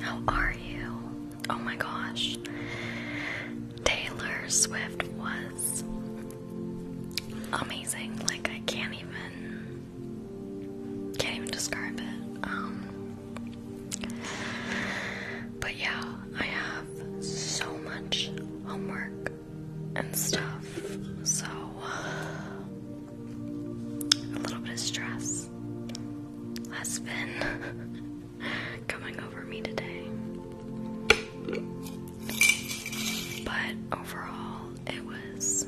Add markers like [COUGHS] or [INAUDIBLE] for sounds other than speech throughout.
How are you? Oh my gosh. Taylor Swift was amazing. Like I can't even can't even describe it. Um But yeah, I have so much homework and stuff. So a little bit of stress has been [LAUGHS] coming over me today. But overall, it was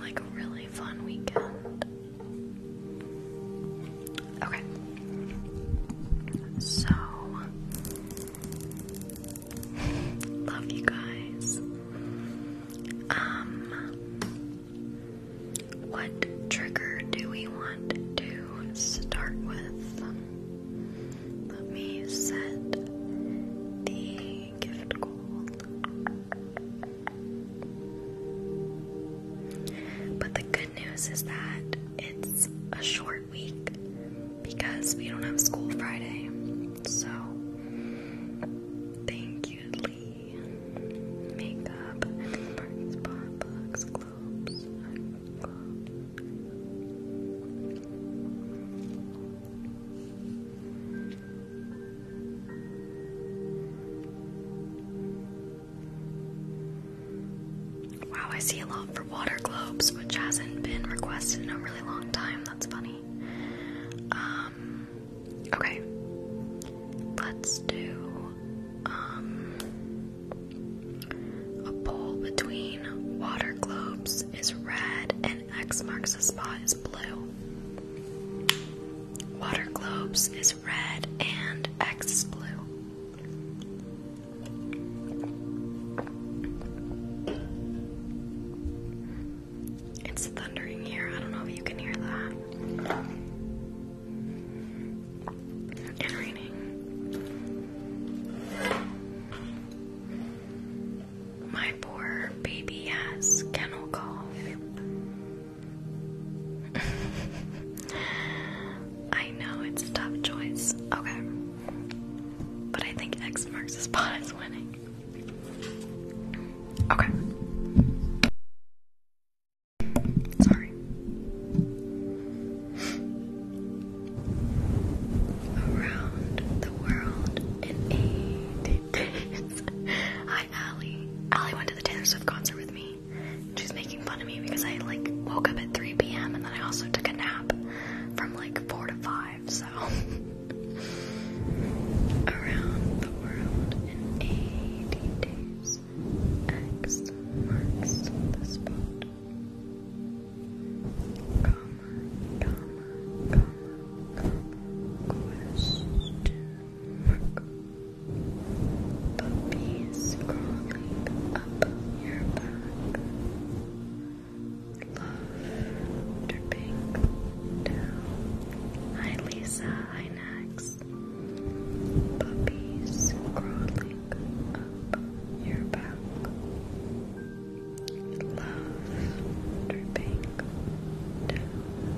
like a really fun weekend. Okay. So, Love you guys. Um, what trigger do we want to start with? Let me set the gift goal. But the good news is that it's a short week because we don't have school Friday. So Thank you, Lee. Makeup, spot books, globes. Wow, I see a lot for water globes, which hasn't been requested in a really long time. That's funny. Um, okay. Let's do um, a poll between water globes is red and X marks the spot is blue. Water globes is red and X is blue. It's thundering here. I don't know if you can hear that. And raining. My poor baby has kennel cough. [LAUGHS] I know it's a tough choice. Okay. But I think X marks the spot is winning. Okay. Sorry. Around the world in 80 days. Hi, Allie. Allie went to the Taylor Swift concert with me. She's making fun of me because I like woke up at 3 p.m. and then I also took a nap from like 4 to 5 so around the world in 80 days. X marks the spot. Comma, comma, comma, comma, question mark. Puppies crawling up your back love dripping down. Hi Lisa, hi Nax. Puppies crawling up your back. Love dripping down.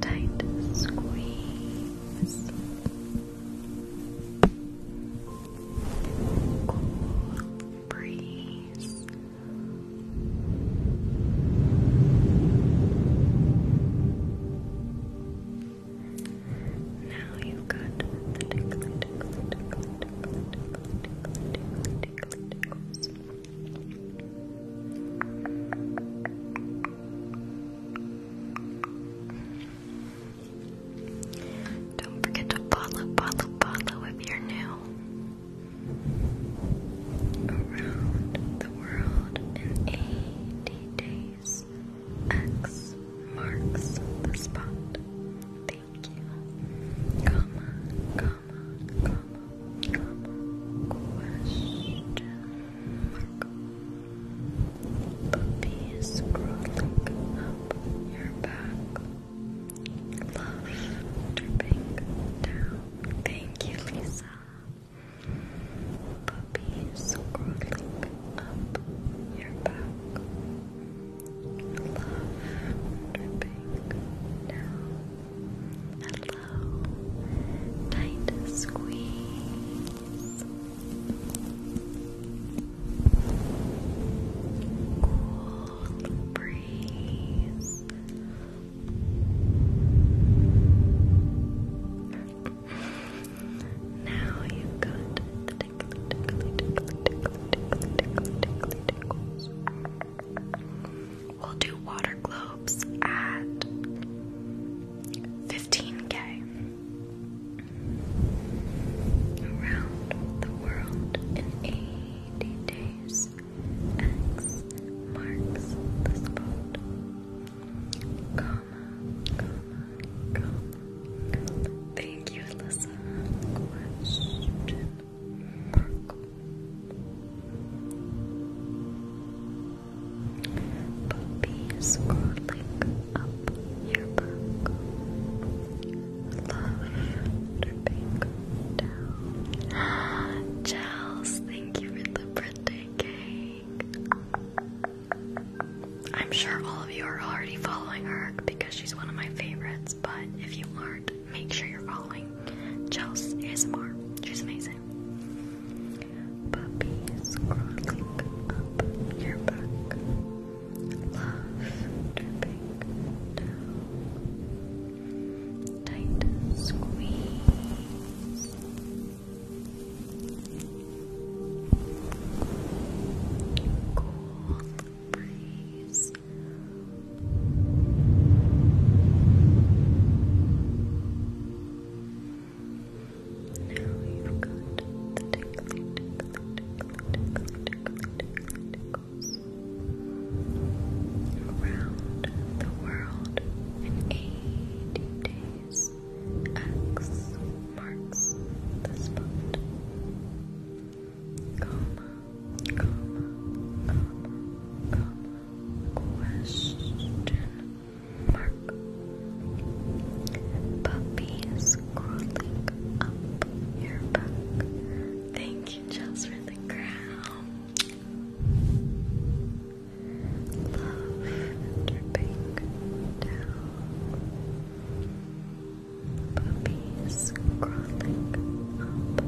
Tight squeeze. Cool breeze now you got Don't forget to follow, follow, follow if you're new. Around the world in 80 days. X marks the spot. Thank you. Comma, comma, comma, comma. Question mark. Puppies crawling up your back. Love dripping down. Thank you, Lisa. Puppies crawling up your back. Love dripping down. Hello, tight squeeze. Cool breeze now you've We'll do water globes at 15k around the world in 80 days. X marks the spot. Comma, comma, comma. Thank you, Alyssa. Question mark. Puppy scrolling up your back. Love thank you for the birthday cake. I'm sure all of you are already following her because she's one of my favorites, but if you aren't, make sure you're following Chels ASMR. She's amazing. Tight squeeze. Cool breeze. Now you've got the tickling, around the world in 80 days. X marks the spot. Comma, comma, comma, comma, question mark. Puppy is crawling up your back. Thank you, Jess, for the crown. Love dripping down, puppies crawling up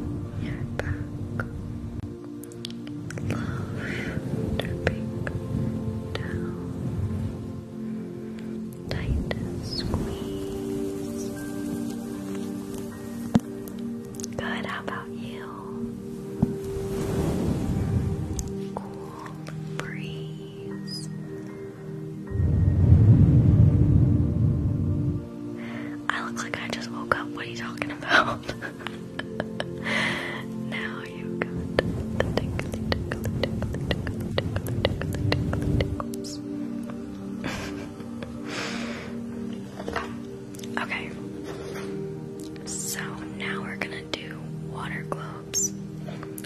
your back. Love dripping down, tight squeeze. Good, how about you? Cool breeze. I look like I just woke up. What are you talking about? [LAUGHS] now you got the [LAUGHS] Okay. So now we're gonna do water globes,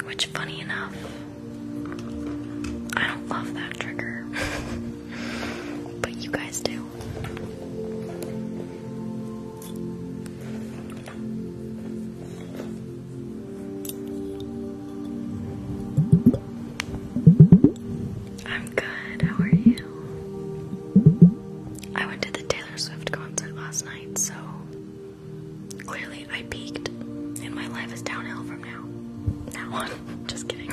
which, funny enough, I don't love that trigger, [LAUGHS] but you guys do. I'm good. How are you? I went to the Taylor Swift concert last night, so clearly I peaked, and my life is downhill from now. Now on. [LAUGHS] Just kidding.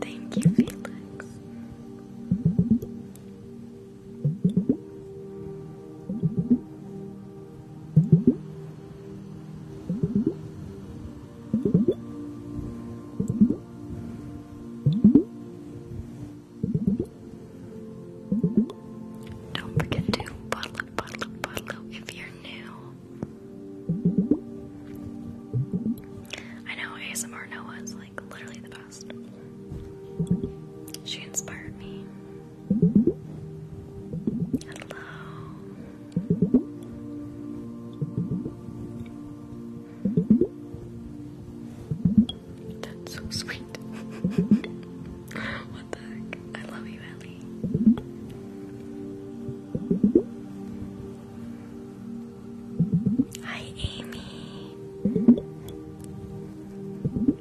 Thank you, Felix. Don't forget to follow, follow, follow if you're new. I know ASMR Noah is like literally the best. She inspired me. Hello. That's so sweet. [LAUGHS] what the heck? I love you, Ellie. Hi, Amy.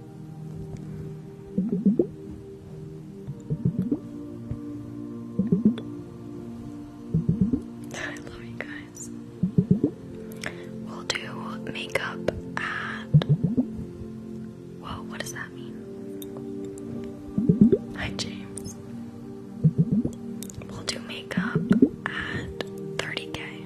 I love you guys. We'll do makeup at. Whoa, what does that mean? Hi, James. We'll do makeup at 30k.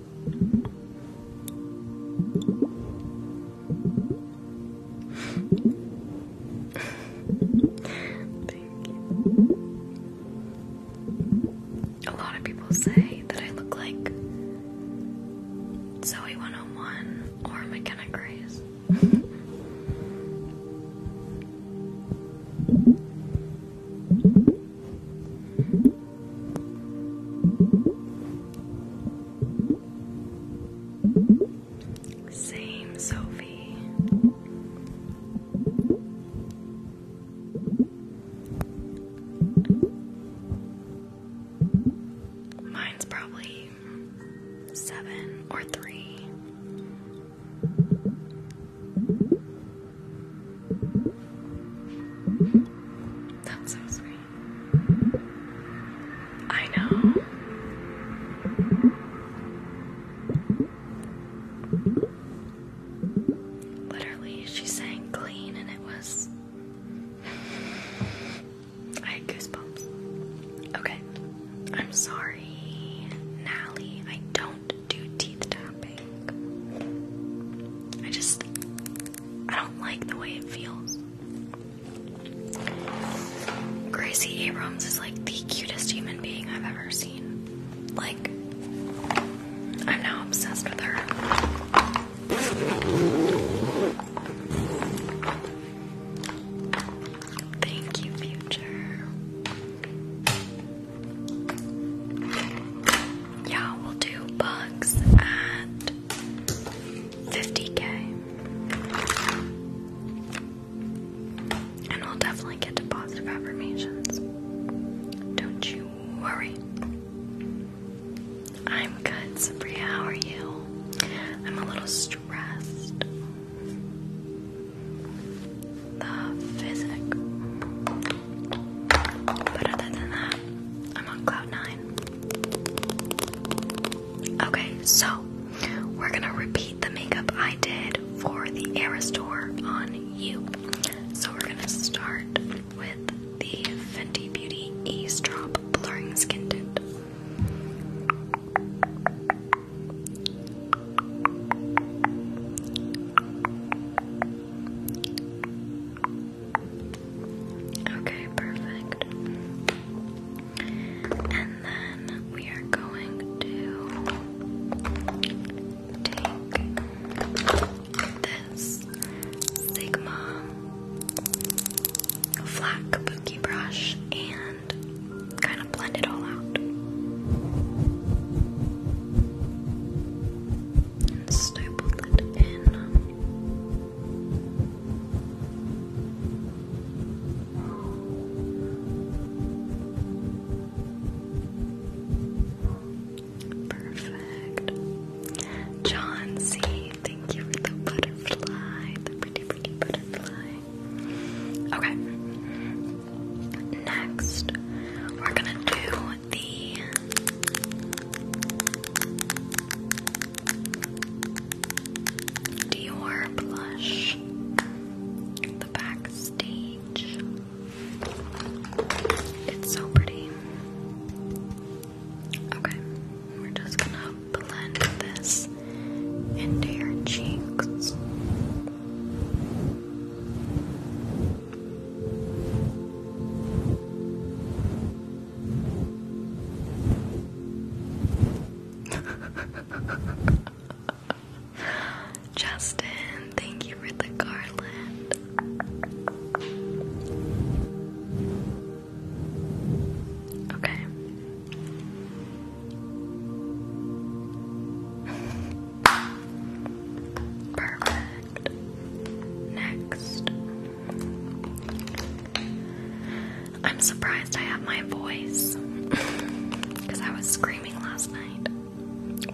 Thank you. A lot of people say that I look like Zoe 101 or McKenna Grace. [LAUGHS] Same, Sophie. Mine's probably seven or three. That's so sweet. I know. Literally, she sang clean and it was. [SIGHS] I had goosebumps. Okay. I'm sorry, Nally. I don't do teeth tapping. I just, I don't like the way it feels. Gracie Abrams is like the cutest human being I've ever seen. Like, I'm now obsessed with her. Thank you, future. Yeah, we'll do bugs at 50k. And we'll definitely get to positive affirmations. Don't you worry. I'm good, Sabria. How are you? I'm a little stressed. The physic. But other than that, I'm on cloud nine. Okay, so we're gonna repeat the makeup I did for the store on you. So we're gonna start with the Fenty Beauty Eavesdrop Blurring Skin Tint. Okay, perfect. And then we are going to take this Sigma flat kabuki brush and kind of blend it all out stapled it in. Perfect. John C, thank you for the butterfly, the pretty, pretty butterfly. Okay. Next, we're gonna do the Dior blush, the backstage. It's so pretty. Okay, we're just gonna blend this into your cheeks. [LAUGHS] Justin, thank you for the garland. Okay. [LAUGHS] Perfect. Next. I'm surprised I have my voice because [LAUGHS] I was screaming last night.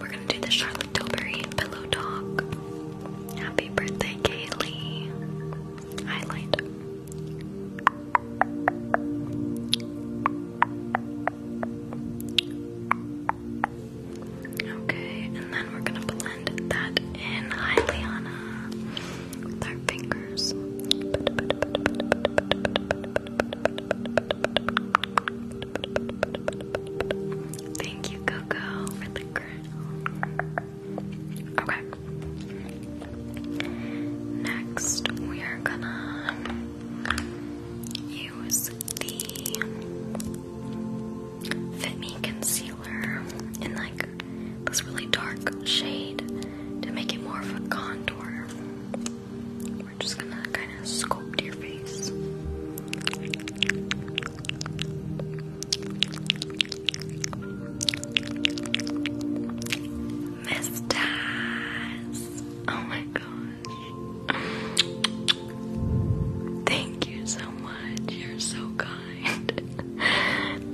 We're gonna do the Charlotte Tilbury pillow talk. Happy birthday, Kaylee. Highlight. Okay, and then we're gonna blend that in, hi Liana, with our fingers. Thank you, Coco, for the crown. Okay. Next, we are gonna use the Fit Me Concealer in like this really dark shade to make it more of a contour. We're just gonna kind of sculpt your face. Miss Oh my gosh. Thank you so much. You're so kind. [LAUGHS]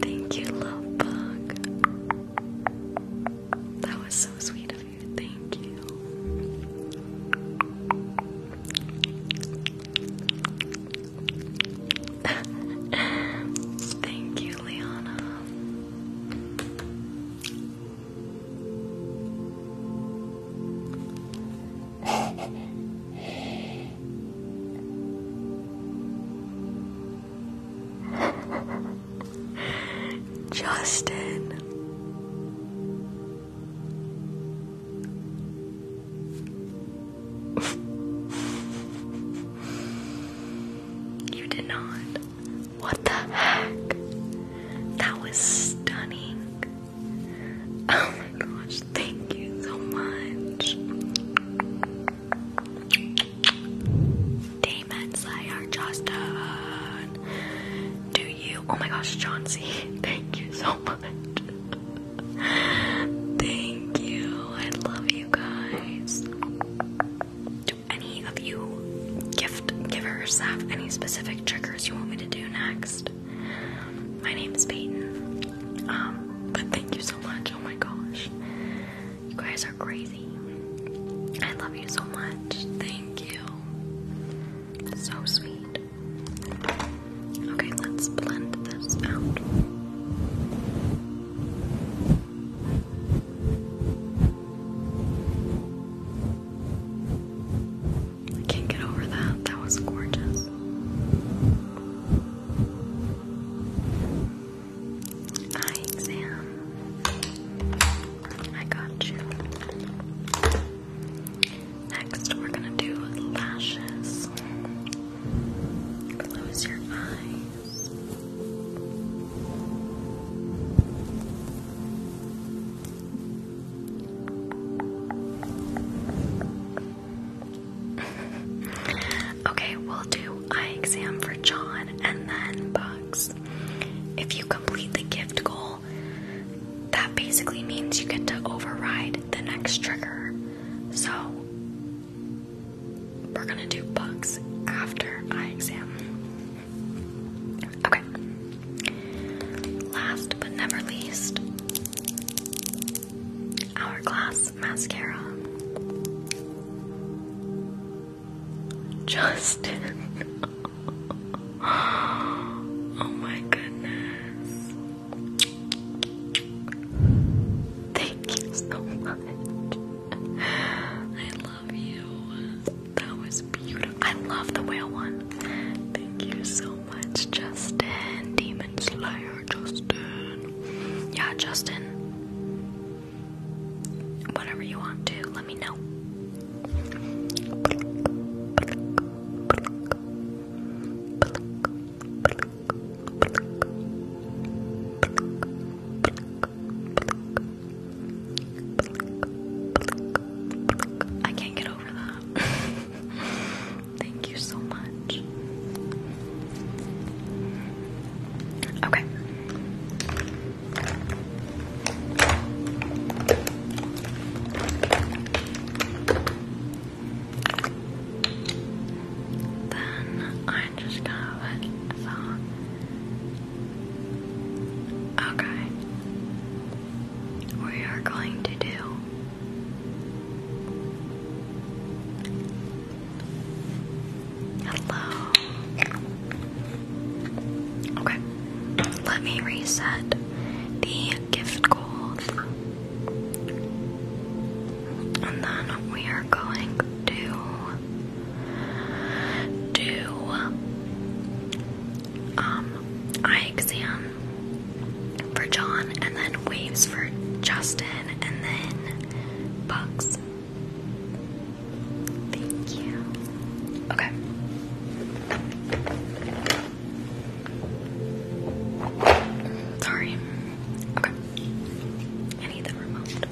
Thank you, love bug. That was so sweet of you. Thank you. [LAUGHS] Thank you, Liana. Justin. you did not. What the heck? That was stunning. Oh my gosh, thank you so much. Damon Sayar Justin. Do you oh my gosh, John [LAUGHS] thank you so much. thank you. I love you guys. Do any of you gift givers have any specific triggers you want me to do next? My name is Peyton. Um, but thank you so much. Oh my gosh. You guys are crazy. I love you so much. Thank you. So sweet. Okay, let's blend this out. I can't get over that. That was gorgeous. Eye exam. I got you. Next, we're gonna do lashes. Close your eyes. [LAUGHS] okay, we'll do eye exam for John and then Bugs. If you complete the gift goal, that basically means you get to override the next trigger. So, we're gonna do Bugs after eye exam. Okay. Last but never least, Hourglass mascara. Justin. [LAUGHS] oh my goodness. Thank you so much. I love you. That was beautiful. I love the whale one. Thank you so much, Justin. Demon Slayer, Justin. Yeah, Justin. Whatever you want to, let me know. I can't get over that. [LAUGHS] Thank you so much. Okay. Then I just got it. okay, we are going to do Hello. Okay, let me reset the gift gold. And then we are going to do um eye exam for John and then waves for Justin and then box. Thank you. Okay. Sorry. Okay. I need that removed.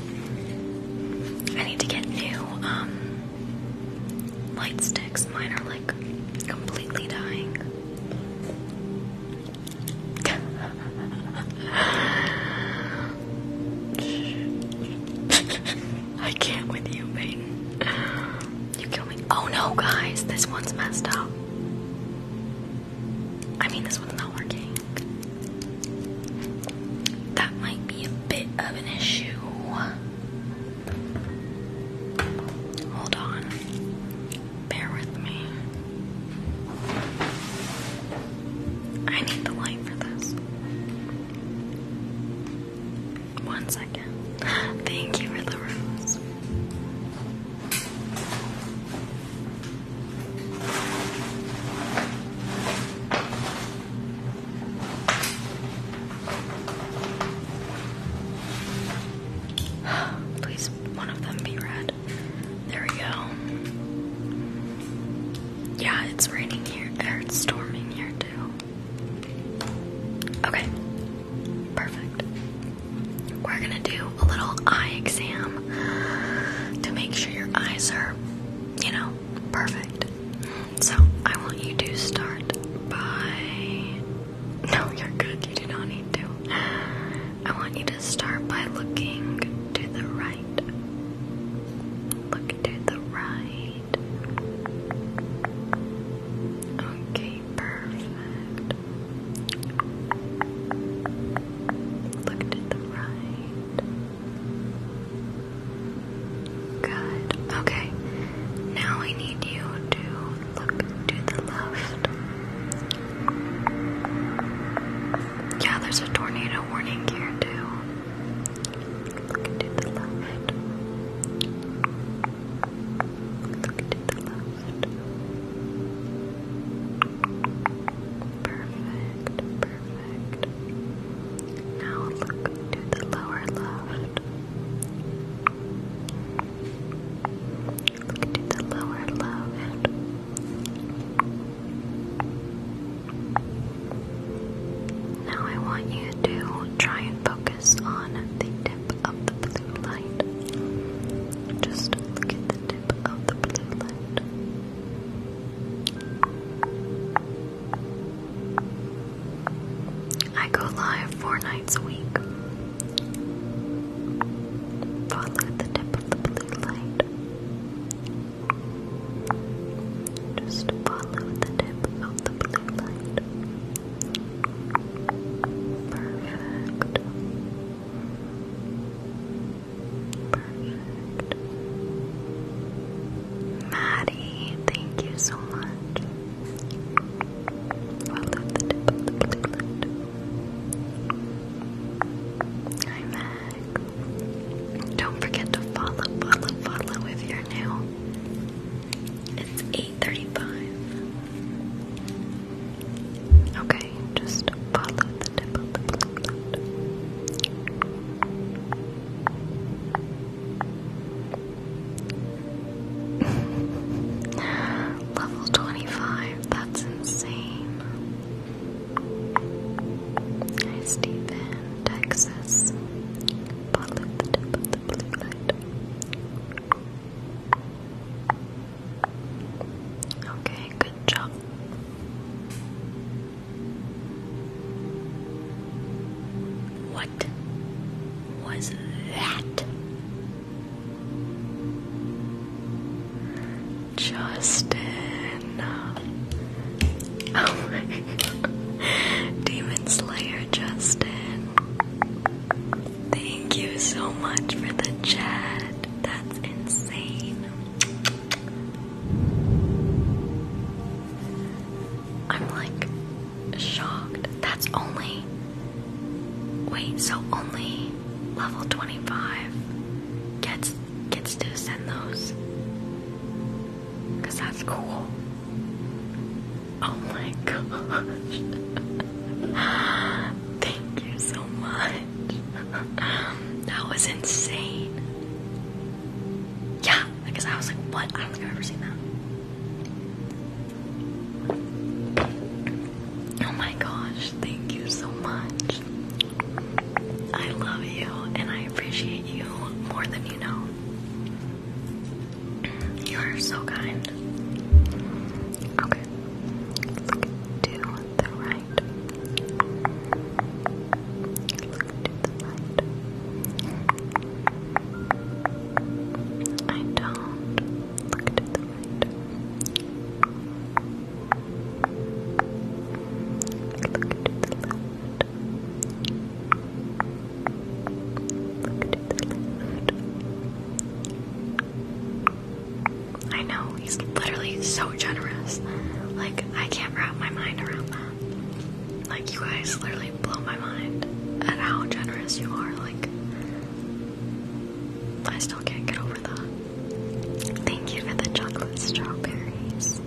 I need to get new um, light sticks. Mine are like completely dying. I can't with you, Peyton. You kill me. Oh no, guys, this one's messed up. I mean, this one's not working. That might be a bit of an issue. Hold on. Bear with me. I need the light for this. One second. [GASPS] Thank you for the rose. [GASPS] Please, one of them be red. There we go. Yeah, it's raining here. Or it's storming here too. Okay. Perfect. We're gonna do a little eye exam to make sure your eyes are, you know, perfect. So I want you to start by. [LAUGHS] No, you're good. You do not need to. I want you to start by looking to the right. Look to the right. Okay, perfect. Look to the right. Good. Okay. Now I need you to look to the left. Yeah, there's a tornado warning here too. Look to the left. Look to the left. Perfect, perfect. Now look to the lower left. Look into the lower left. Now I want you to try and focus on the tip of the blue light. Just look at the tip of the blue light. I go live four nights a week. Follow the tip of the just follow the tip of the blue light. Perfect. Perfect. Maddie, thank you so much. Follow the tip of the blue light. I'm Don't forget to follow, follow, follow if you're new. It's 8.35. Okay, just follow the tip of the blue [LAUGHS] Level 25, that's insane. Hi, Stephen, Texas. Follow the tip of the blue light. Okay, good job. What was that? Justin. [LAUGHS] Oh Demon Slayer Justin. Thank you so much for the chat. That's insane. I'm like shocked. That's only. Wait, so only level 25 gets gets to send those. Because that's cool. Oh my [LAUGHS] gosh. Thank you so much. [LAUGHS] that was insane. Yeah, because I was like, what? I don't think I've ever seen that. Oh my gosh, thank you so much. I love you and I appreciate you more than you know. You are so kind. Okay. Look to the right. Look to the right. I don't. Look to the right. I know, he's literally so generous. Like, I can't wrap my mind around that. Like, you guys literally blow my mind at how generous you are. Like, I still can't get over that. Thank you for the chocolate strawberries.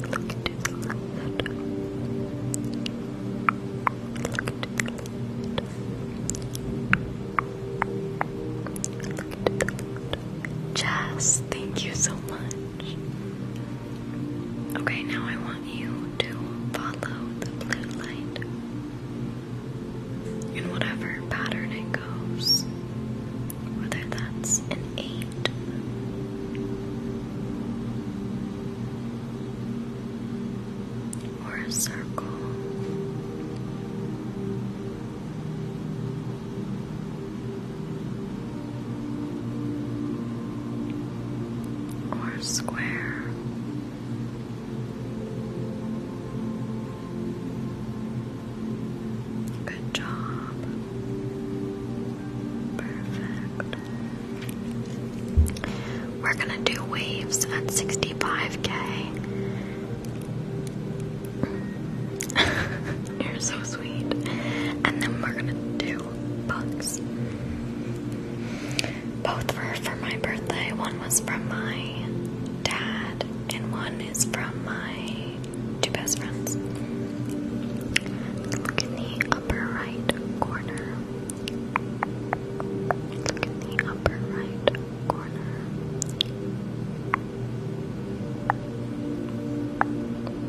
Look to the Look to the left. thank you so much. Okay, now I want you to follow the blue light in whatever pattern it goes, whether that's an eight. Or a circle, or a square, Good job. Perfect. We're gonna do waves at 65k. [LAUGHS] You're so sweet. And then we're gonna do bugs. Both were for my birthday. One was from my dad, and one is from my two best friends. Look in the upper right corner. Look in the upper right corner.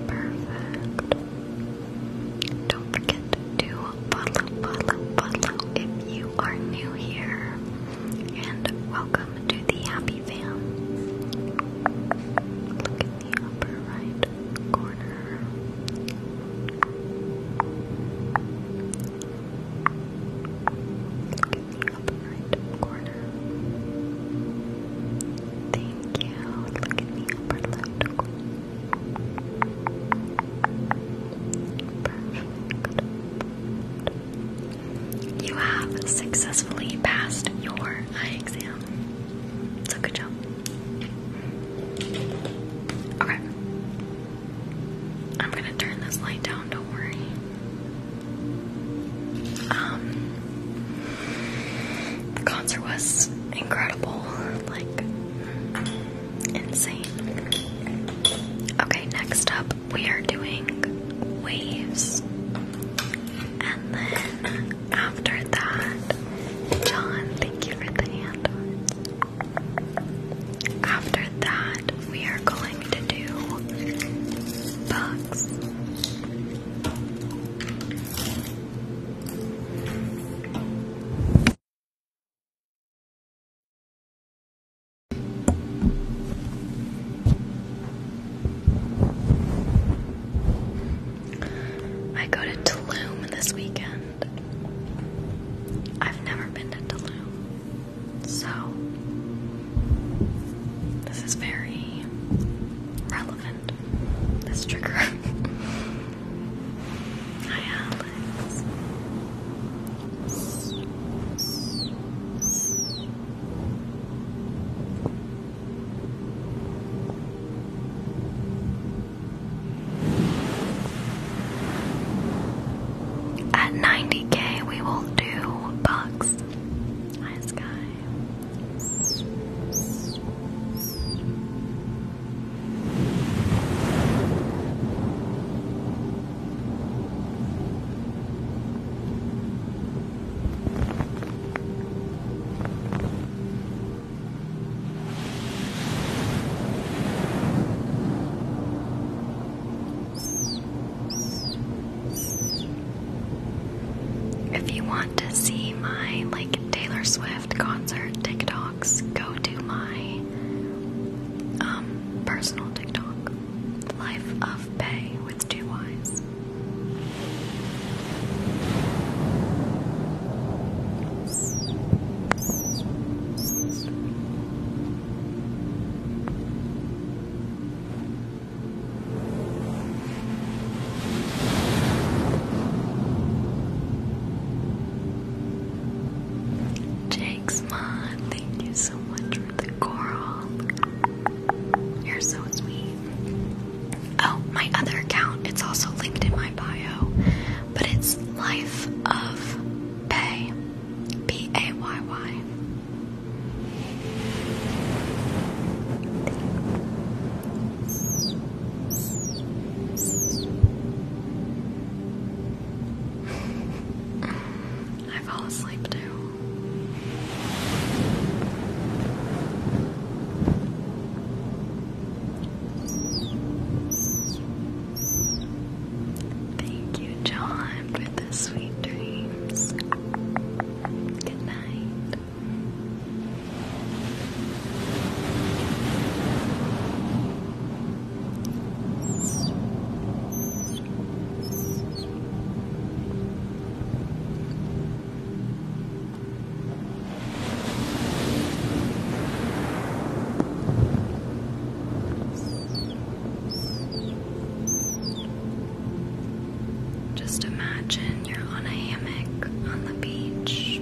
Perfect. Don't forget to follow, follow, follow if you are new here and welcome to the Happy Fam. Look in the upper right corner. Thank you. Look in the upper left corner. Perfect. You have successfully passed your eye exam. So good job. Okay. I'm gonna turn this light down, don't worry. Um the concert was incredible, like insane. Okay, next up we are doing waves. And then after that, John, thank you for the hand. After that, we are going to do bugs. I go to Tulum this weekend. I've never been to Tulum, so this is very relevant. This trigger. [LAUGHS] Hi, Alex. At 90k, we will do bugs. Hi, Sky. If you want to see my like Taylor Swift concert TikToks, go to my um, personal TikTok, Life of Pay with two eyes. thank you so much Coral. You're so sweet. Oh, my other account, it's also linked in my bio, but it's Life of Bay. B A Y Y. Mm, I fall asleep too. Thank you, John, for the sweet dreams. Good night. Just imagine you're on a hammock on the beach.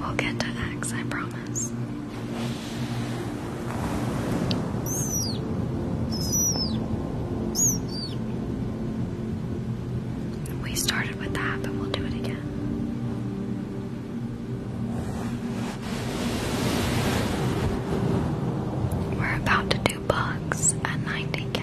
We'll get to X, I promise. We started with that, but we'll do it again. We're about to do bugs at 90k.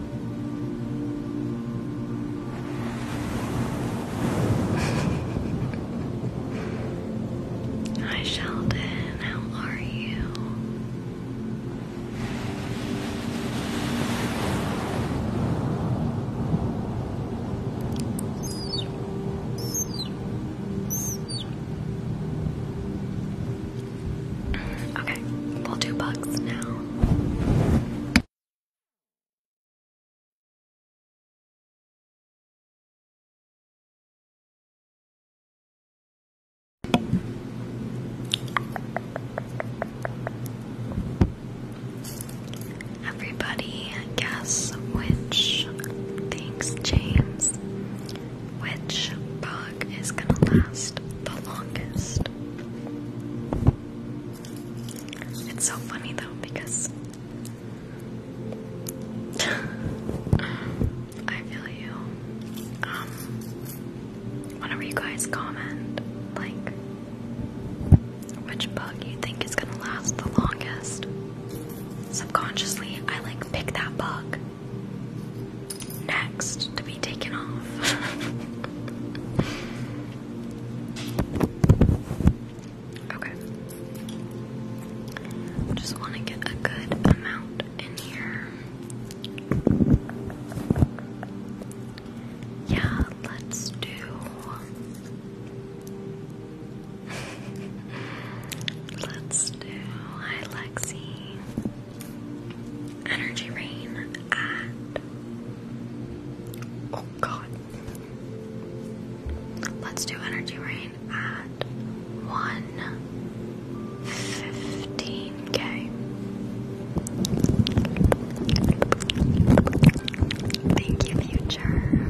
Hi Sheldon, how are you? Okay, we'll do bugs now. Everybody, guess which. Thanks, James. Which bug is gonna last the longest? It's so funny though because I feel you. Um, whenever you guys comment, like, which bug you think is gonna last the longest, subconsciously I like pick that bug. Now next to be taken off. [LAUGHS] okay. Just want to get a good amount in here. Yeah, let's do. [LAUGHS] let's do. Hi, Lexi. Energy Rain and oh god. Let's do Energy Rain at one fifteen K. Thank you, future.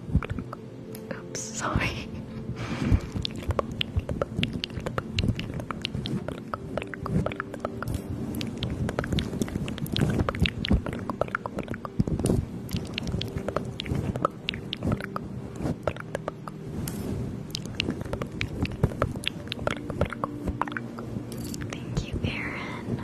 I'm sorry. Thank you, Aaron.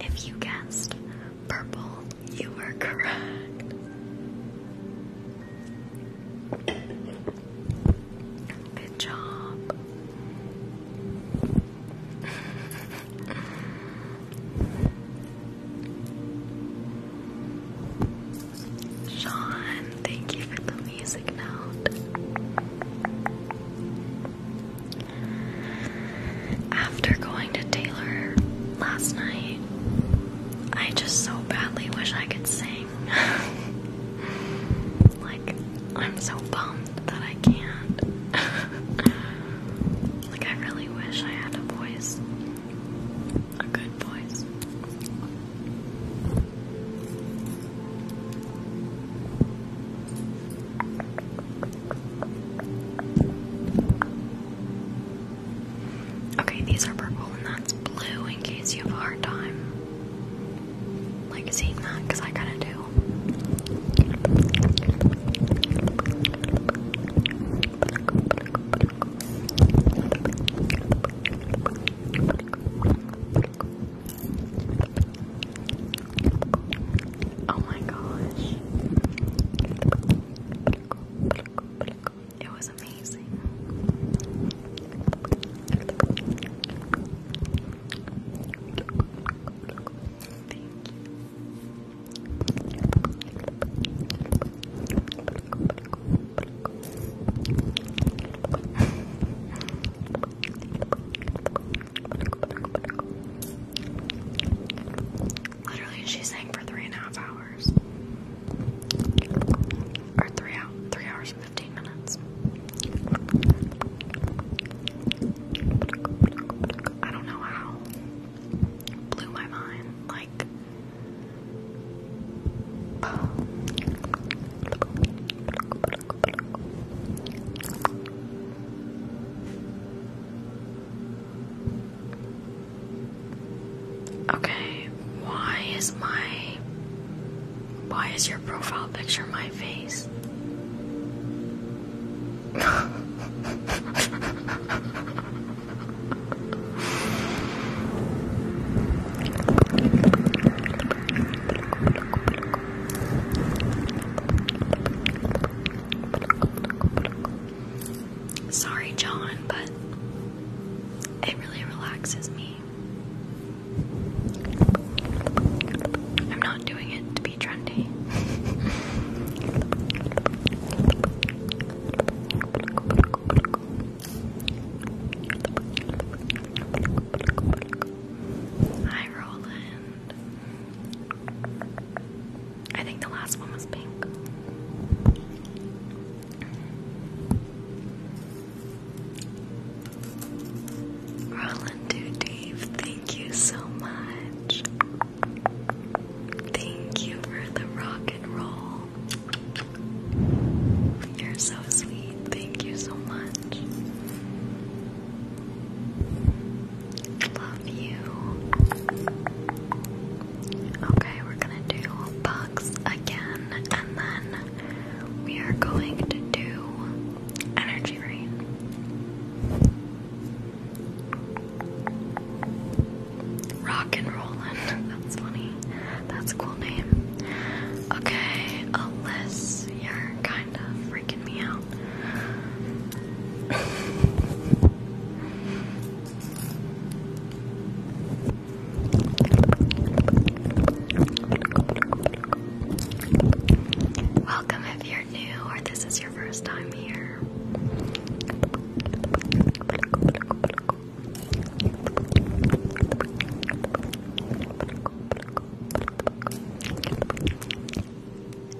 If you guessed purple, you were correct. Good job. Sean, thank you for the music note. After going to Taylor last night, I just so badly wish I could sing. [LAUGHS] like, I'm so bummed that I can't. [LAUGHS] like, I really wish I had a voice. A good voice. Okay, these are purple and that's blue in case you have a hard time like seeing that because I kind of do. Oh my gosh. It was amazing. Thank [LAUGHS] you. Literally, she sang for three and a half hours, or three out, three hours and fifteen minutes. I don't know how. Blew my mind. Like, [SIGHS] Okay, why is my why is your profile picture my face? [LAUGHS] Sorry, John, but it really relaxes me. I'm not doing it to be trendy. Hi, Roland. I think the last one was pink. Roland Do Dave, thank you so much. Thank you for the rock and roll. You're so sweet. Thank you so much. Love you. Okay, we're gonna do bugs again, and then we are going to do energy rain. Rock and rollin', that's funny. That's a cool name. Okay, unless you're kind of freaking me out. Welcome if you're new or this is your first time here.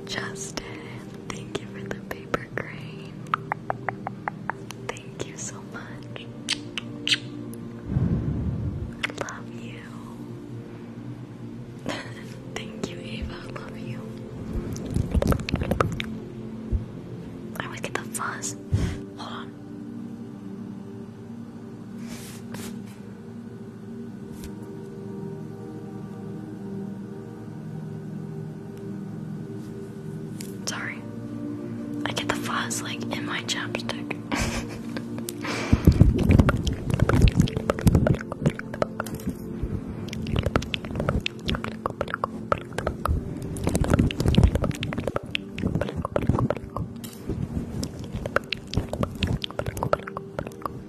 Justin, thank you for the paper crane. Thank you so much. I love you. [LAUGHS] thank you, Ava. I love you. I always get the fuzz. Hold on. Sorry. I get the fuzz like in my chapstick. [LAUGHS]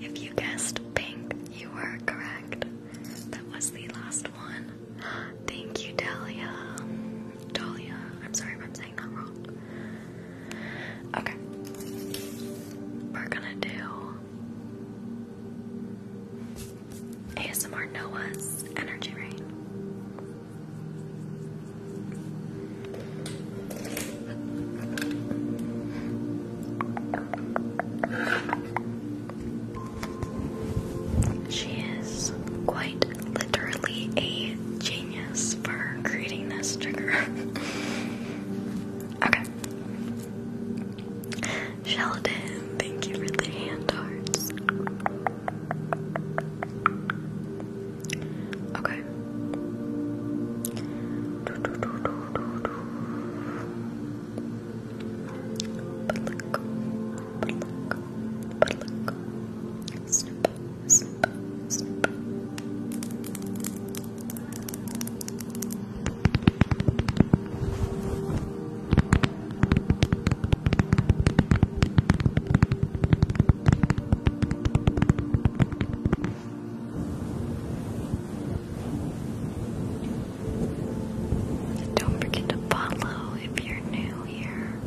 If you guessed pink, you were correct. That was the last one. Thank you, Dalia. Dalia, I'm sorry if I'm saying that wrong. Okay. We're gonna do ASMR Noah's Energy Rain. She is quite literally a genius for creating this trigger. [LAUGHS] okay. Sheldon, thank you for the hand hearts. Okay. Pluck, pluck, pluck. Snip, snip, snip. Don't forget to follow if you're new here.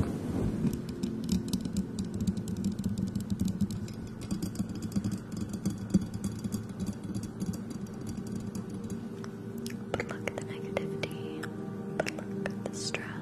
But look at the negativity. But look at the stress.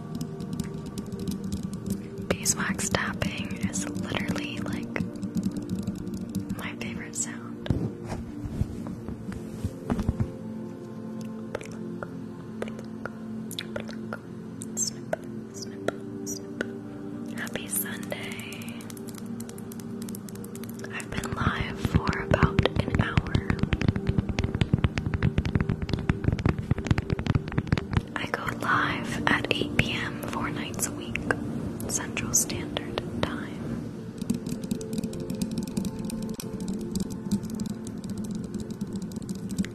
Beeswax tapping is literally like my favorite sound. Happy Sunday. I've been live for about an hour. I go live at 8 p.m. four nights a week, Central Standard Time.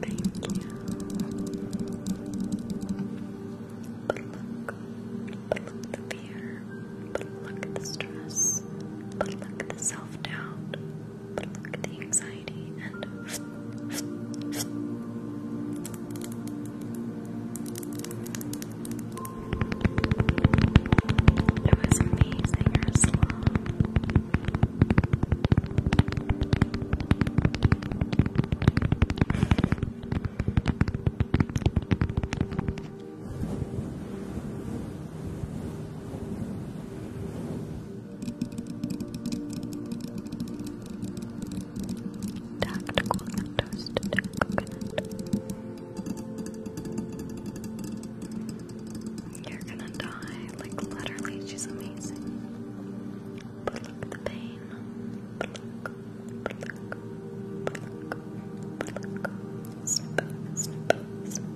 Thank you. But look, but look the fear, but look the stress, but look the self doubt, but look the anxiety tidy and it was amazing Tactical and You're gonna die. Like, literally, she's amazing. But look at the pain. But look, but look, but look, but look. Snip, snip, snip.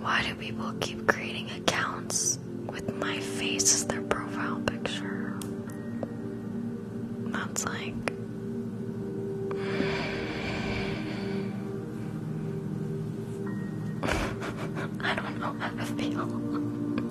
Why do people keep creating accounts with my face as their profile picture? That's like. [LAUGHS] I don't know how to feel. [LAUGHS]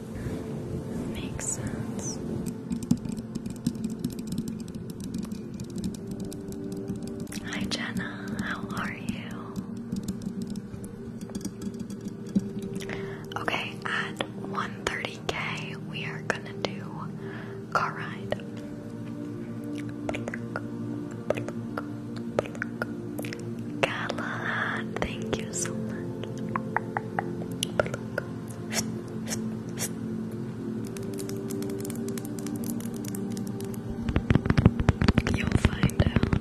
Makes sense. Hi Jenna, how are you? Okay, at 130k we are gonna do car ride. Callahan, thank you so much. You'll find out.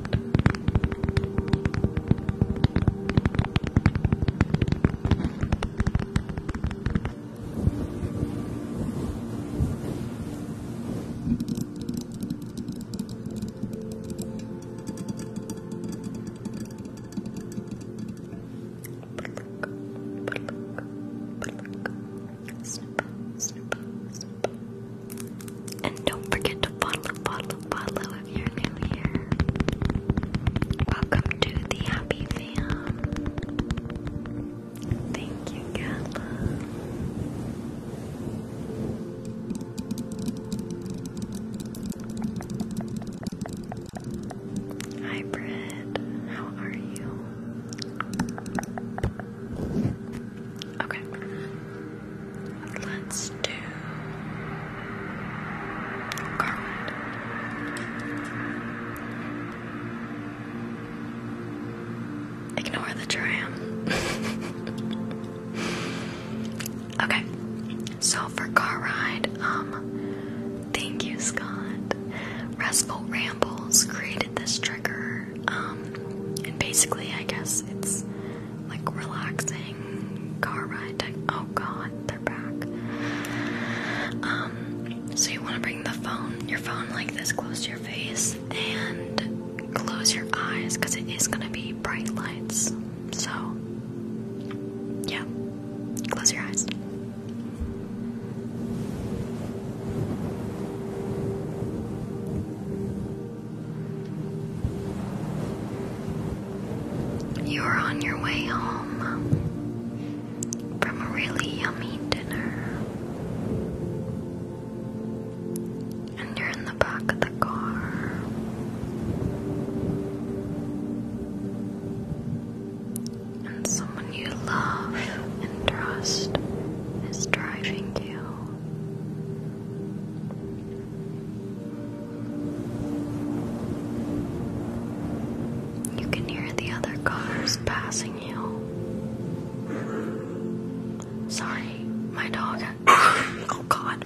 And don't forget to follow, follow, follow if you're new here. Welcome to the Happy Fam. Thank you, Gala. Hi, How are you? Okay. Let's do Ignore the tram. [LAUGHS] Okay, so for car ride, um, thank you, Scott. Restful Rambles created this trigger, um, and basically, I guess it's like relaxing car ride. Type. Oh God, they're back. Um, so you want to bring the phone, your phone, like this close to your face, and close your eyes because it is gonna be bright lights. So, yeah, close your eyes. You are on your way home from a really yummy dinner, and you're in the back of and someone you love and trust is driving you. You can hear the other cars passing you. Sorry, my dog. [COUGHS] oh god.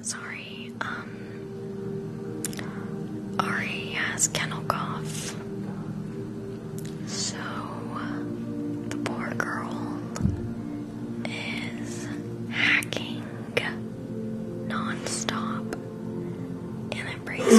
Sorry, um, Ari has kennel cough, so the poor girl is hacking non and it breaks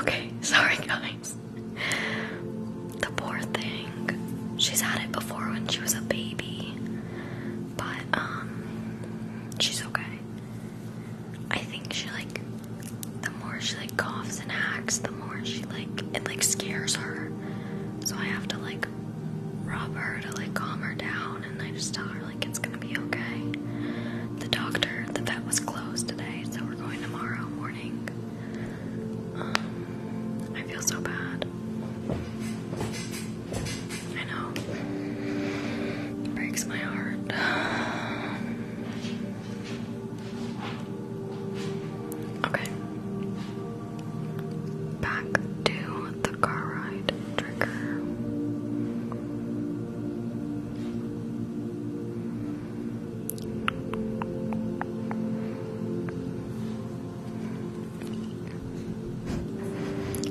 Okay, sorry guys. The poor thing. She's had it before when she was a baby. But um she's okay. I think she like the more she like coughs and hacks, the more she like it like scares her. So I have to like rob her to like calm her down and I just tell her like it's gonna be okay. The doctor, the vet was closed today, so we're going tomorrow morning. Um, I feel so bad. I know. breaks my heart. [SIGHS] Okay. Back to the car ride trigger.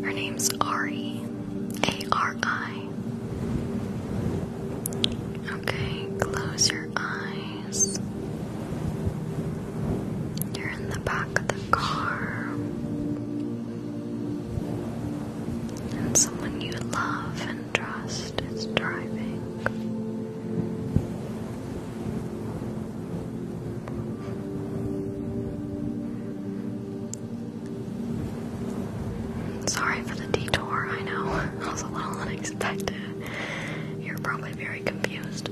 Her name's Ari. A R I. Okay, close your eyes. You're in the back of the car. And someone you love and trust is driving. Sorry for the detour, I know. [LAUGHS] It was a little unexpected. You're probably very confused.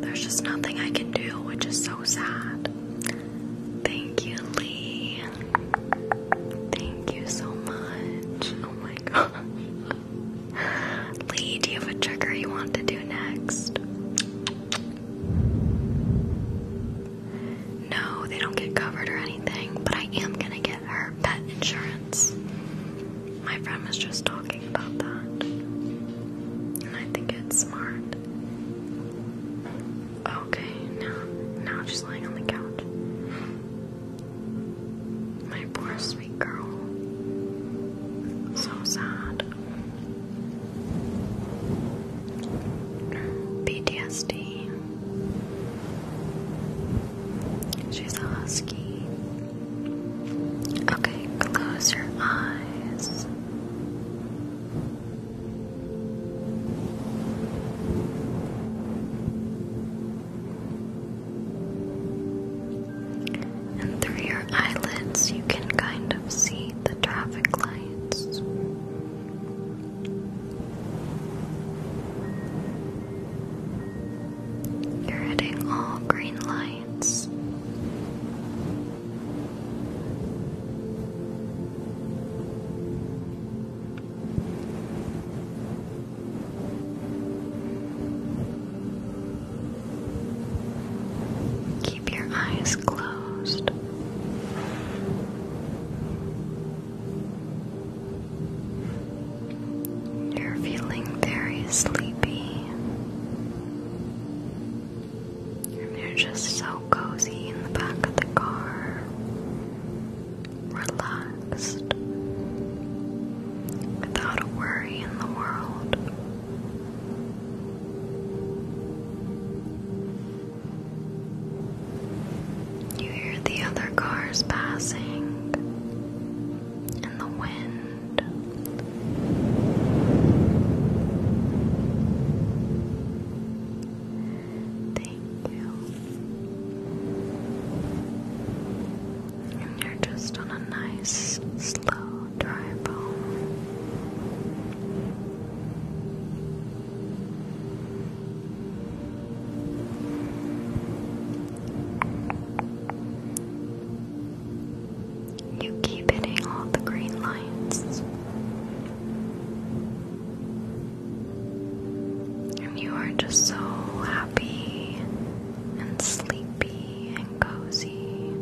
There's just nothing I can do, which is so sad. Thank you, Lee. Thank you so much. Oh my [LAUGHS] gosh. Lee, do you have a trigger you want to do next? No, they don't get covered or anything, but I am gonna get her pet insurance. My friend was just talking about that. And I think it's smart. Okay, now now she's laying on the couch. My poor sweet girl. So sad. PTSD. She's a husky. Okay, close your eyes. And through your eyelids, you can kind of see the traffic lights. You're hitting all green lights. Keep your eyes closed. You're feeling very sleepy you're just so cozy in the back of the car, relaxed, without a worry in the world. You hear the other cars passing and the wind. Thank you. you're just on a nice, slow drive home. You keep hitting all the green lights. And you are just so happy and sleepy and cozy.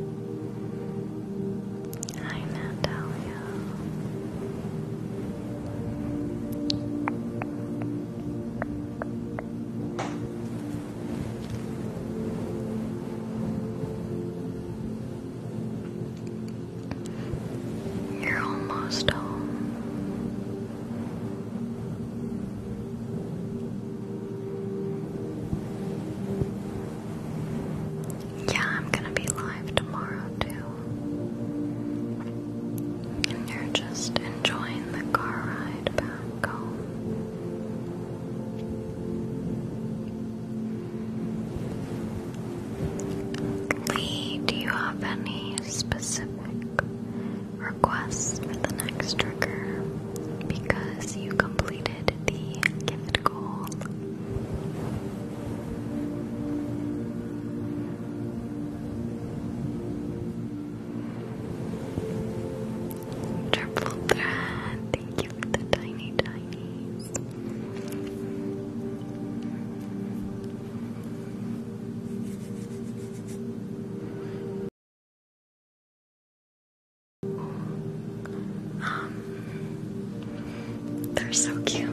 Hi, Natalia. You're almost home. Yeah, I'm gonna be live tomorrow too. And you're just enjoying the car ride back home. Lee, do you have any specific requests for the next trigger? Because you completed the gift goal. Triple thread, thank the tiny tinies. they're so cute.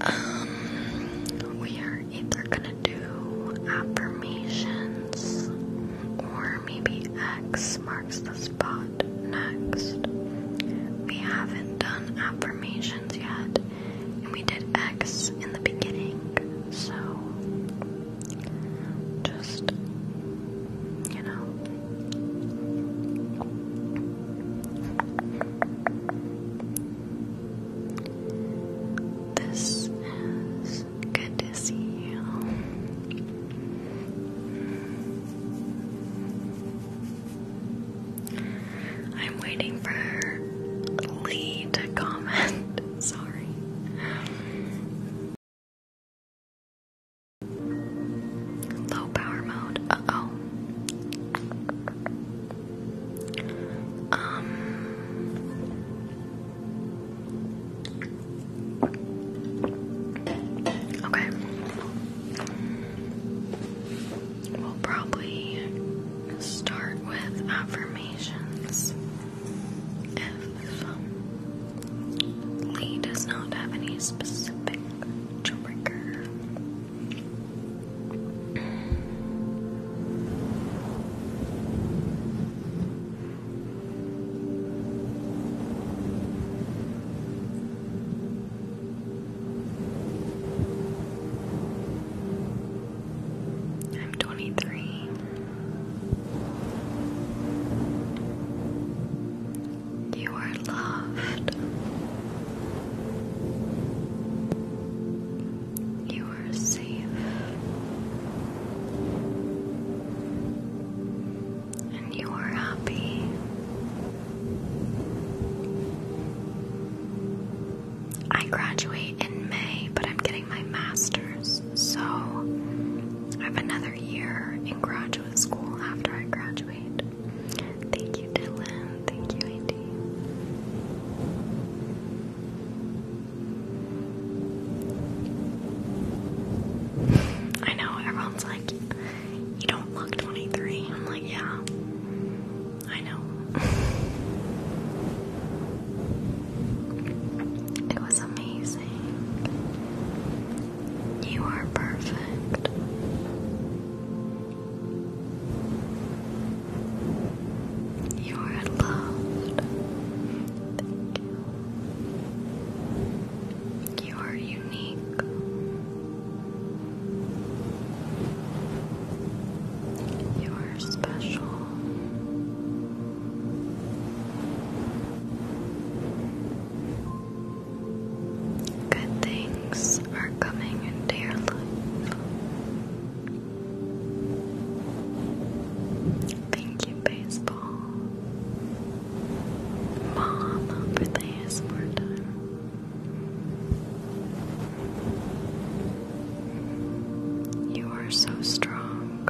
Um, we are either gonna do affirmations or maybe X the spot next. We haven't done affirmations yet, and we did X in the beginning, so just, you know. This is Good to see you. I'm waiting for Lee to comment. [LAUGHS] Sorry. Low power mode. Uh oh. Um. Okay. We'll probably start with affirmations. If Lee does not have any specific trigger. I'm 23. You are loved. You are safe and you are happy. I graduate in May, but I'm getting my master's, so I have another year in graduate school after I graduate. Thank you, Dylan. Thank you, Andy. I know, everyone's like, you don't look 23. I'm like, yeah, I know. [LAUGHS] it was amazing. You are perfect. You are loved you are unique. You are special. Good things are coming your life. Thank you, baseball mom for the ASMR time. You are so strong,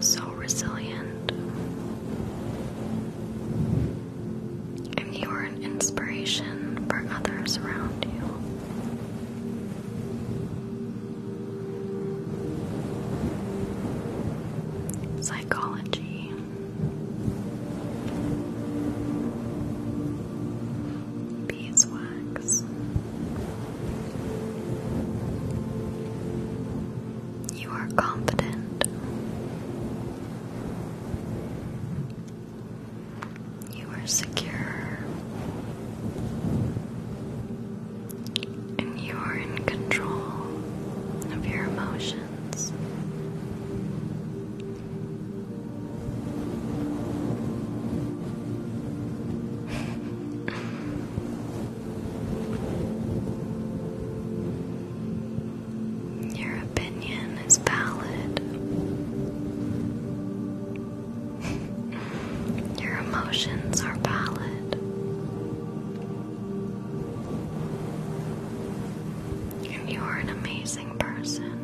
so resilient, and you are an inspiration for others around you. Psychology. Beeswax. You are confident. You are secure and you are in control of your emotions. [LAUGHS] Your opinion is valid. Your emotions are valid. And you are an amazing person.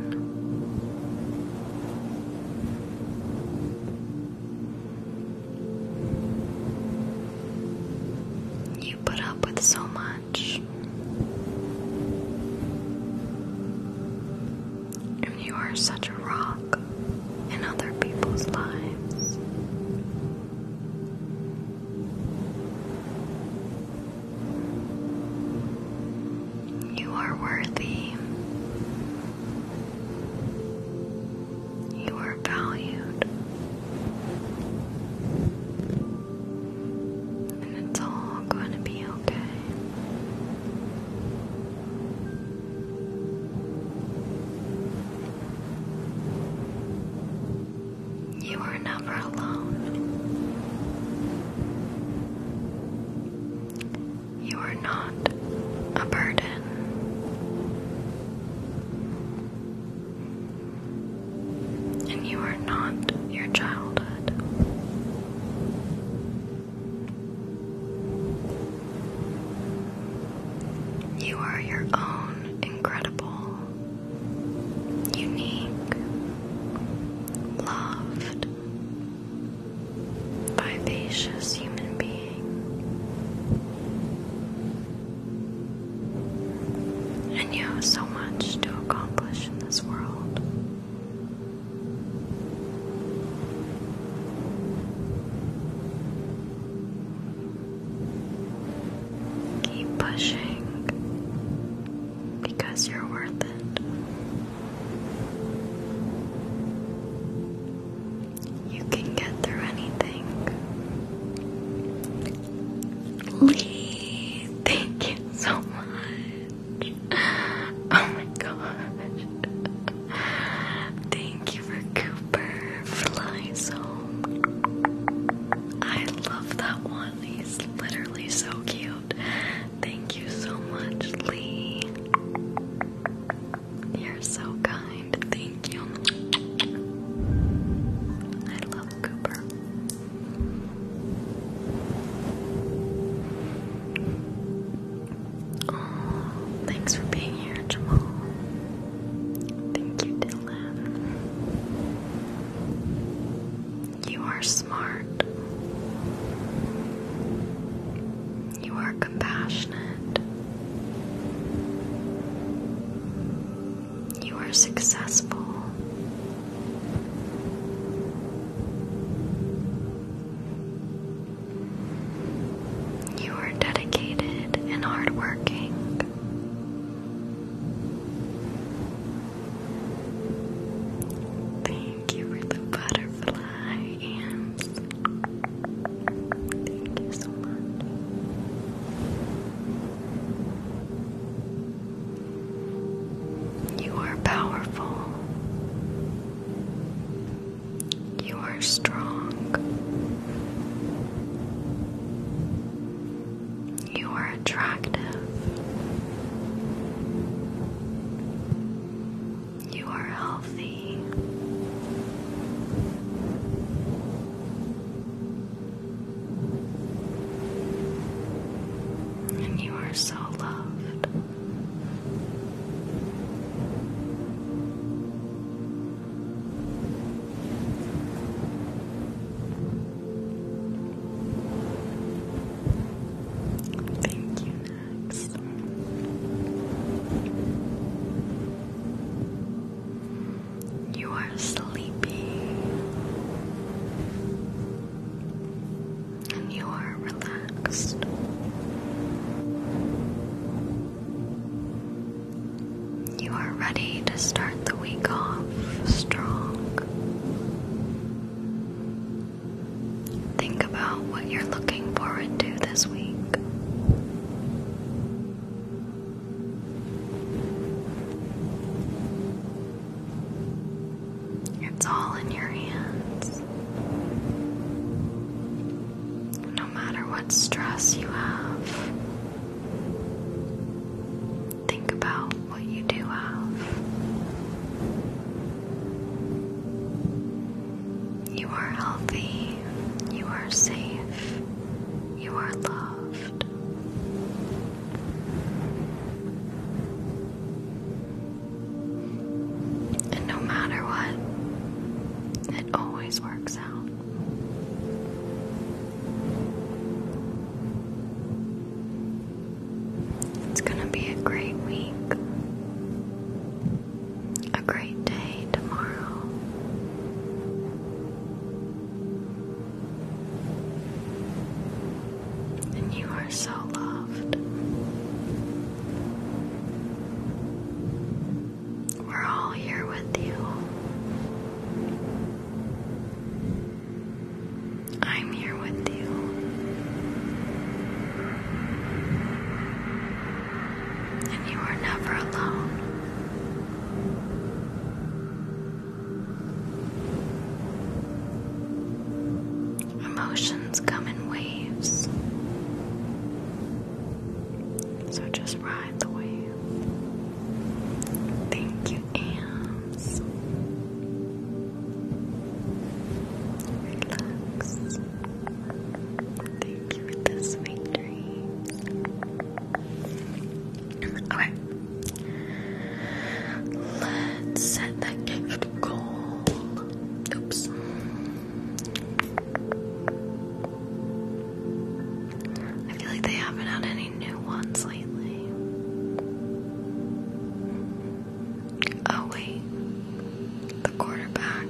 You put up with so much you are such a rock in other people's lives. You are worthy. You are valued. And it's all going to be okay. You are never alone. You are not a burden. And you are not your childhood. You are your own incredible, unique, loved, vivacious human being. And you have so much to accomplish in this world. Keep pushing because you're worth it. You can get through anything. Lee, thank you so much. Oh my gosh. Thank you for Amber flies I love that one. He's literally so cute. Thank you so much, Lee. You're so kind. Thank you. I love Cooper thanks for being here, Jamal. Thank you, Dylan. You are smart. You are compassionate. You are successful. You are dedicated and hardworking. Thank you for the butterfly and thank you so much. You are powerful. You are strong. You are attractive. You are healthy. And you are so loved. Thank you, Max. You are sleepy and you are relaxed. You are ready to start the week off strong. Think about what you're looking forward to this week. It's all in your hands no matter what stress you have, think about what you do have. You are healthy, you are safe, you are loved. And no matter what, it always works out. It's going to be a great week, a great day tomorrow. And you are so loved. We're all here with you. I'm here with you. And you are never alone. Emotions come in waves. So just ride the wave. Thank you, Ams. Relax. Thank you for this victory. Okay. Let's set that gift goal. Oops. I feel like they haven't had any new ones lately. Oh, wait. The quarterback.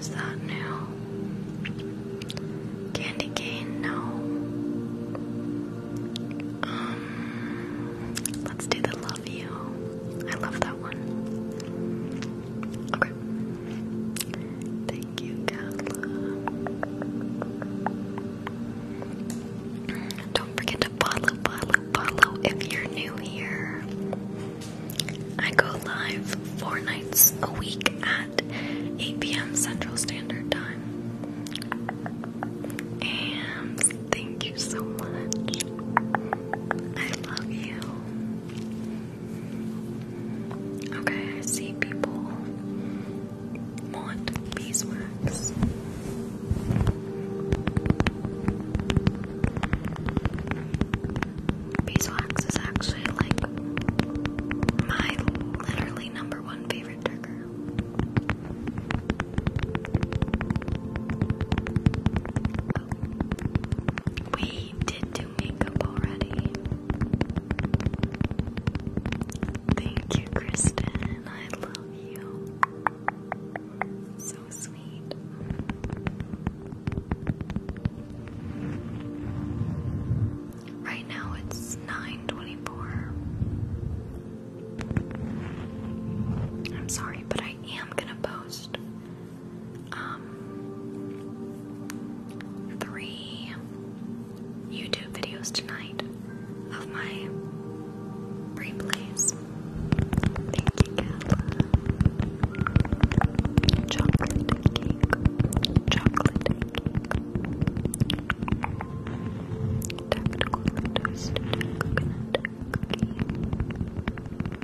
Is that new? Candy cane? No. Um, let's do the love you. I love that one. Okay. Thank you, Carla. Don't forget to follow, follow, follow if you're new here. I go live four nights a week at 8 p.m. Central Standard Time. And thank you so much. I love you. Okay, I see people want beeswax. Beeswax is actually like my literally number one favorite trigger. I did do makeup already. Thank you, Kristen. I love you. So sweet. Right now it's 9:24. I'm sorry, but I am going to post um, three YouTube videos tonight of my replays. Thank you, Gala. Chocolate cake. Chocolate cake. Tactical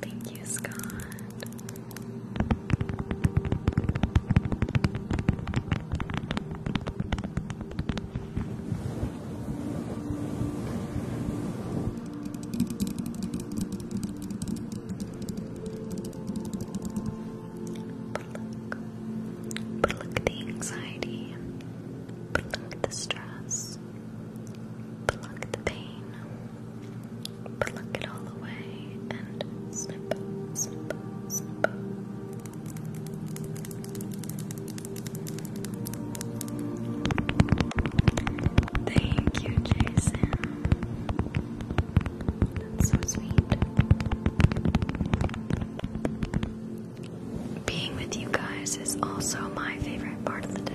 Thank you, Scott. But look, but look the anxiety, but look the stress. Pluck the pain, pluck it all away, and snip, snip, snip. Thank you, Jason. That's so sweet. Being with you guys is also my favorite part of the day.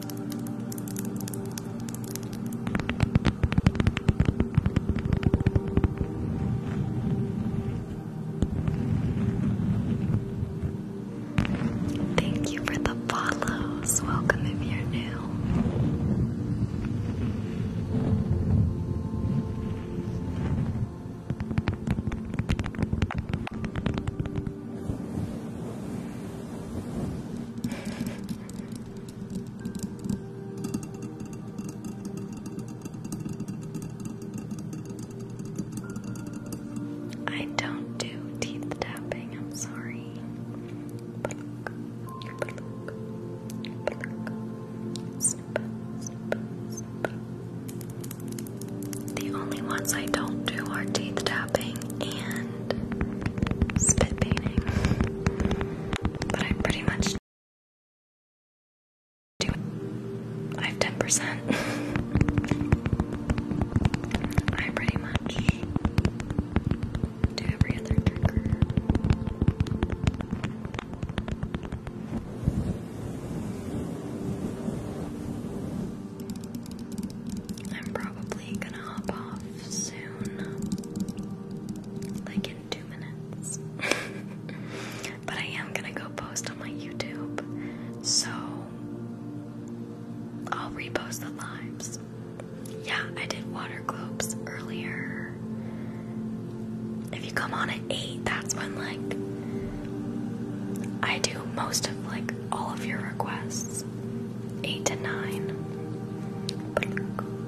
Thank you for the follows. Welcome if you're new. I don't do teeth tapping, I'm sorry. The only ones I don't do are teeth tapping and spit painting. But I pretty much do I have 10%. I pretty much do every other trigger. I'm probably I'm gonna hop off soon, like in two minutes. [LAUGHS] but I am gonna go post on my YouTube, so I'll repost the lives. Yeah, I did water globes earlier. If you come on at 8, that's when, like, I do most of, like, all of your requests. 8 to 9.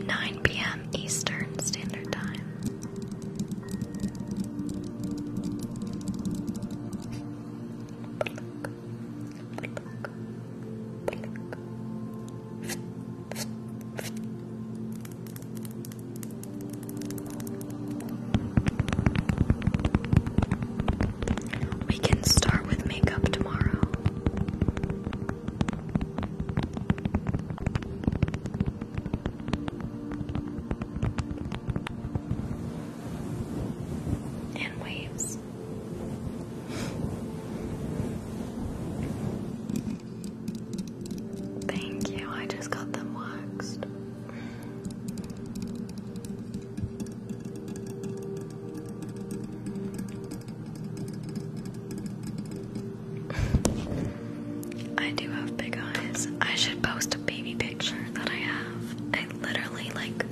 9 p.m. Eastern Standard Time. We can start with makeup tomorrow and waves. Thank you, I just got them waxed. I do have big eyes. I should post a baby picture that I have. I literally like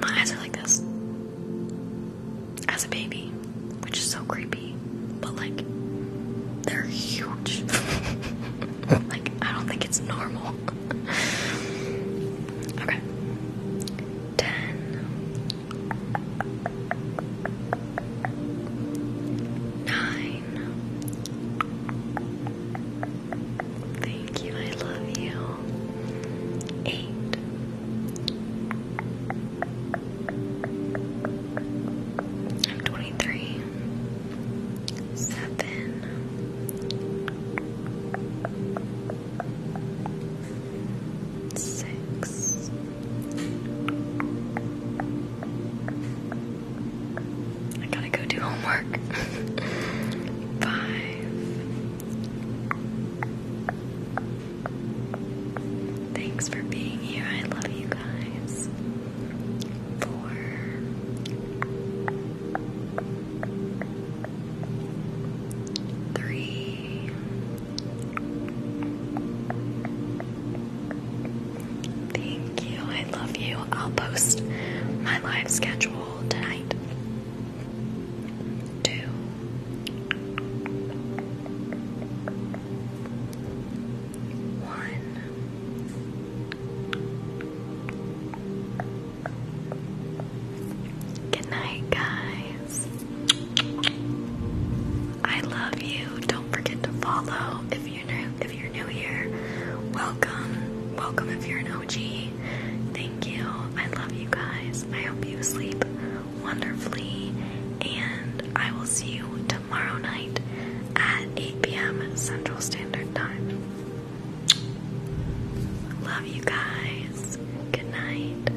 my eyes are like this as a baby, which is so creepy, but like they're huge. [LAUGHS] like I don't think it's normal. [LAUGHS] okay. 10 Nine. Thank you, I love you. Eight. I'm 23. Seven. Six. I gotta go do homework. Five. [LAUGHS] Thanks for being here. I love you guys. Four. Three. Thank you. I love you. I'll post my live schedule tonight. Two. One. Good night, guys. I love you. Don't forget to follow if you're new, if you're new here. Welcome. Welcome if you're an OG. Thank you. I love you guys. I hope you sleep wonderfully and I will see you tomorrow night at 8 p.m. Central Standard Time. Love you guys. Good night.